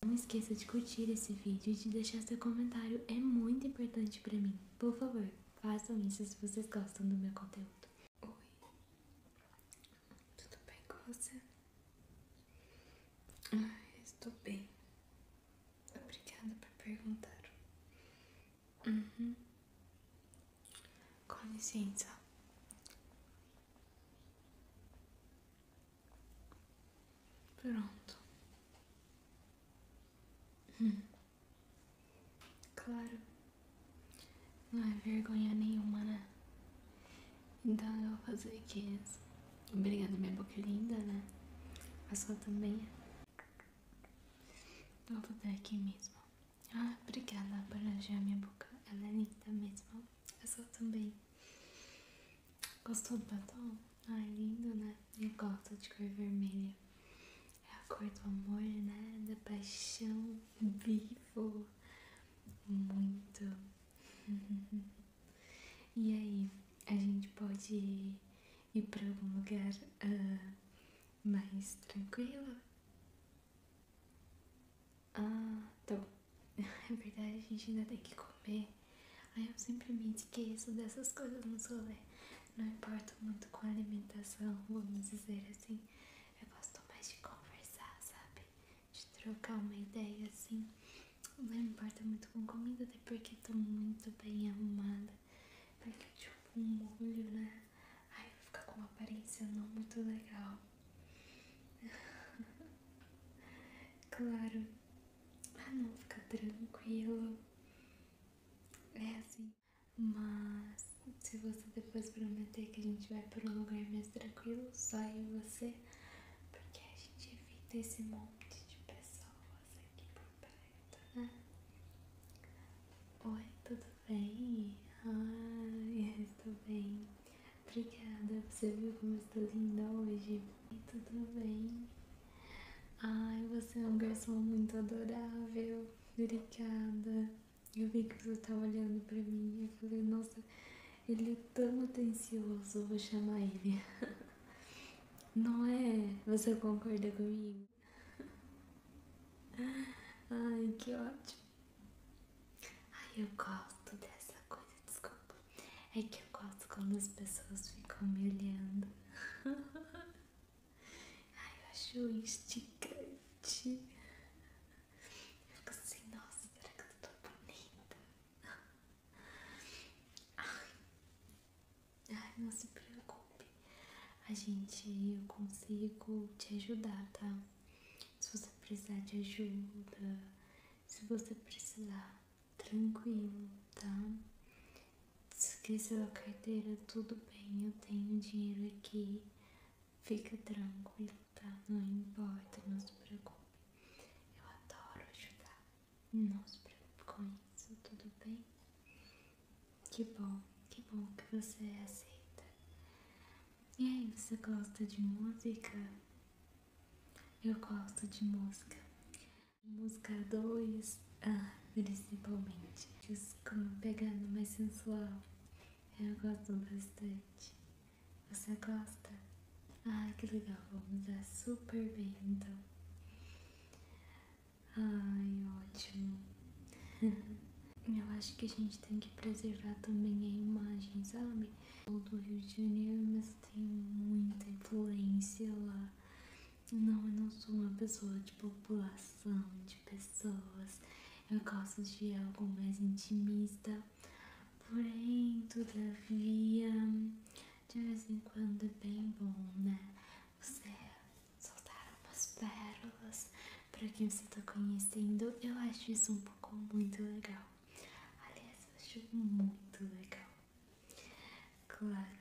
Não esqueça de curtir esse vídeo e de deixar seu comentário, é muito importante para mim. Por favor, façam isso se vocês gostam do meu conteúdo. Oi, tudo bem com você? Estou bem. Obrigada por perguntar. Uhum. Com licença. Pronto. Hum. Claro. Não é vergonha nenhuma, né? Então eu vou fazer aqui. Obrigada, minha boca é linda, né? A sua também. Vou fazer aqui mesmo. Ah, obrigada por elogiar minha boca. Ela é linda mesmo. A sua também. Gostou do batom? Ah, é lindo, né? Eu gosto de cor vermelha. É a cor do amor, né? Da paixão. Vivo. Muito. Uhum. e aí, a gente pode ir para algum lugar ah, mais tranquilo? Ah, tô. Tá é verdade, a gente ainda tem que comer. Aí eu simplesmente esqueço dessas coisas no solé. Não importa muito com a alimentação, vamos dizer assim. Eu gosto mais de conversar, sabe? de trocar uma ideia assim. Não importa tá muito com comida, até porque tô tá muito bem arrumada. Porque tipo um molho, né? Ai, ficar com uma aparência não muito legal. claro. Ah não, fica tranquilo. É assim. Mas se você depois prometer que a gente vai para um lugar mais tranquilo, só eu e você, porque a gente evita esse monte de pessoas aqui por perto, né? Oi, tudo bem? Ai, eu estou bem. Obrigada, você viu como eu estou linda hoje? Ai, tudo bem? Ai, você é um garçom muito adorável. Obrigada. Eu vi que você estava olhando para mim e eu falei, nossa, ele é tão atencioso, vou chamar ele. Não é? Você concorda comigo? Ai, que ótimo. Ai, eu gosto dessa coisa, desculpa. É que eu gosto quando as pessoas ficam me olhando. Ai, eu acho esticante Eu fico assim, nossa, será que eu tô bonita? ai, não se preocupe. A gente, eu consigo te ajudar, tá? Se você precisar de ajuda, se você precisar, tranquilo, tá? Esqueceu a carteira, tudo bem, eu tenho dinheiro aqui. Fica tranquilo, tá? Não importa, não se preocupe. Eu adoro ajudar. Não se preocupe com isso, tudo bem? Que bom, que bom que você aceita. E aí, você gosta de música? Eu gosto de música. Música 2, ah, principalmente. Disco pegando mais sensual. Eu gosto bastante. Você gosta? Ah, que legal, vamos dar super bem então. Ai, ótimo. Eu acho que a gente tem que preservar também a imagem, sabe? O do Rio de Janeiro, mas tem muita influência lá não, eu não sou uma pessoa de população, de pessoas. Eu gosto de algo mais intimista. Porém, todavia, de vez em quando é bem bom, né? Você soltar umas pérolas para quem você está conhecendo. Eu acho isso um pouco muito legal. Aliás, eu acho muito legal. Claro.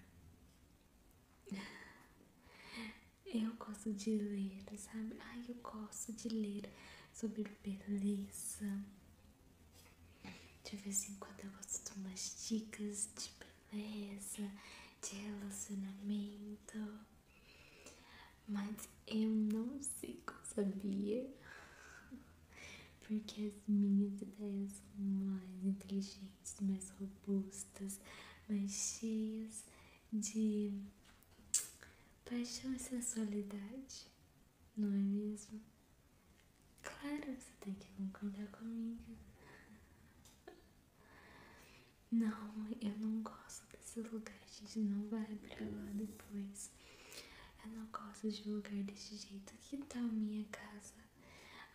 Eu gosto de ler, sabe? Ai, eu gosto de ler sobre beleza. De vez em quando eu gosto de umas dicas de beleza, de relacionamento. Mas eu não sigo, sabia? porque as minhas ideias são mais inteligentes, mais robustas, mais cheias de paixão e sensualidade, não é mesmo? Claro, você tem que concordar comigo. Não, eu não gosto desse lugar, a gente não vai pra lá depois eu não gosto de lugar desse jeito. Que tal minha casa?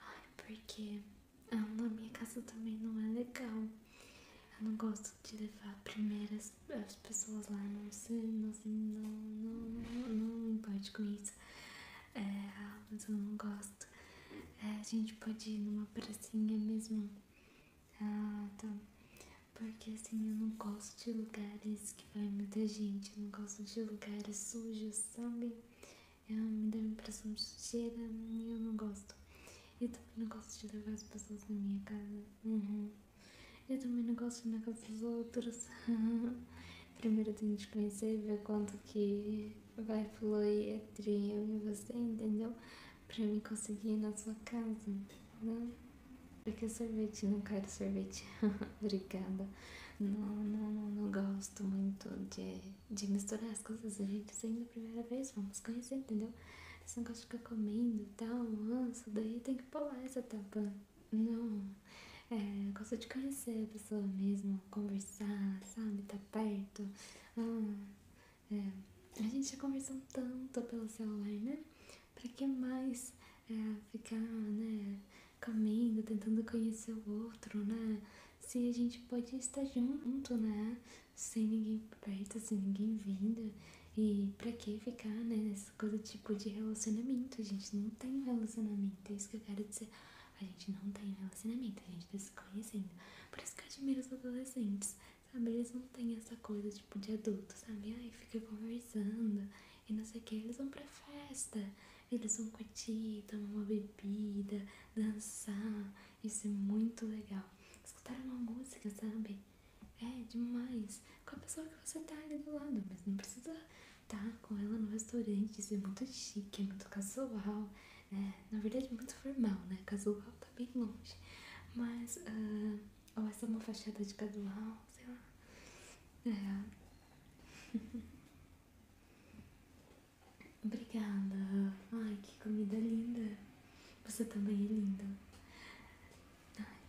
Ai, porque a minha casa também não é legal. Eu não gosto de levar primeiro as, pessoas lá, não sei, não, não, não, não me importo com isso. É, mas eu não gosto. É, a gente pode ir numa pracinha mesmo. então porque assim, eu não gosto de lugares que vai muita gente, eu não gosto de lugares sujos, sabe? Eu, é, me dá uma impressão de sujeira e eu não gosto. Eu também não gosto de levar as pessoas na minha casa. Uhum. Eu também não gosto de ir na casa dos outros. Primeiro tem que conhecer e ver quanto que vai fluir entre eu e você, entendeu? Pra me conseguir na sua casa, não? Né? Porque sorvete, não quero sorvete. Obrigada. Não, não, não, gosto muito de, de misturar as coisas. A gente saindo a primeira vez, vamos conhecer, entendeu? Esse negócio de ficar comendo e tal, nossa, daí tem que pular essa etapa. Não, é, gosto de conhecer a pessoa mesmo, conversar, sabe? Tá perto. Ah, é. A gente já conversou tanto pelo celular, né? Pra que mais é, ficar, né? Comendo, tentando conhecer o outro, né? Se a gente pode estar junto, né? Sem ninguém perto, sem ninguém vindo. E pra que ficar, né? Essa tipo de relacionamento. A gente não tem relacionamento. É isso que eu quero dizer. A gente não tem relacionamento, a gente tá se conhecendo. Por isso que eu admiro os adolescentes sabe? Eles não têm essa coisa tipo de adulto, sabe? aí fica conversando e não sei o que. Eles vão pra festa, eles vão curtir, tomar uma bebida, dançar. Isso é muito legal. Escutar uma música, sabe? É demais. Com a pessoa que você tá ali do lado, mas não precisa estar tá com ela no restaurante. Isso é muito chique, é muito casual. É, na verdade, é muito formal, né? Casual tá bem longe. Mas, ou ah, essa é uma fachada de casual, sei lá. É. Obrigada. Ai, que comida linda. Você também é linda. Ai.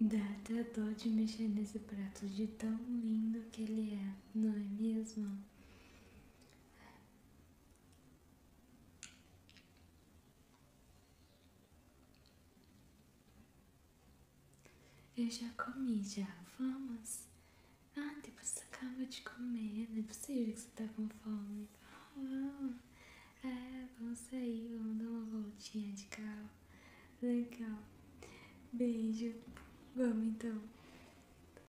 Dá até dó de mexer nesse prato de tão lindo que ele é, não é mesmo? Eu já comi, já. Vamos. antes ah, depois você acaba de comer. Não é possível que você tá com fome. Vamos. Ah, vamos sair. Vamos dar uma voltinha de carro. Legal. Beijo. Vamos então.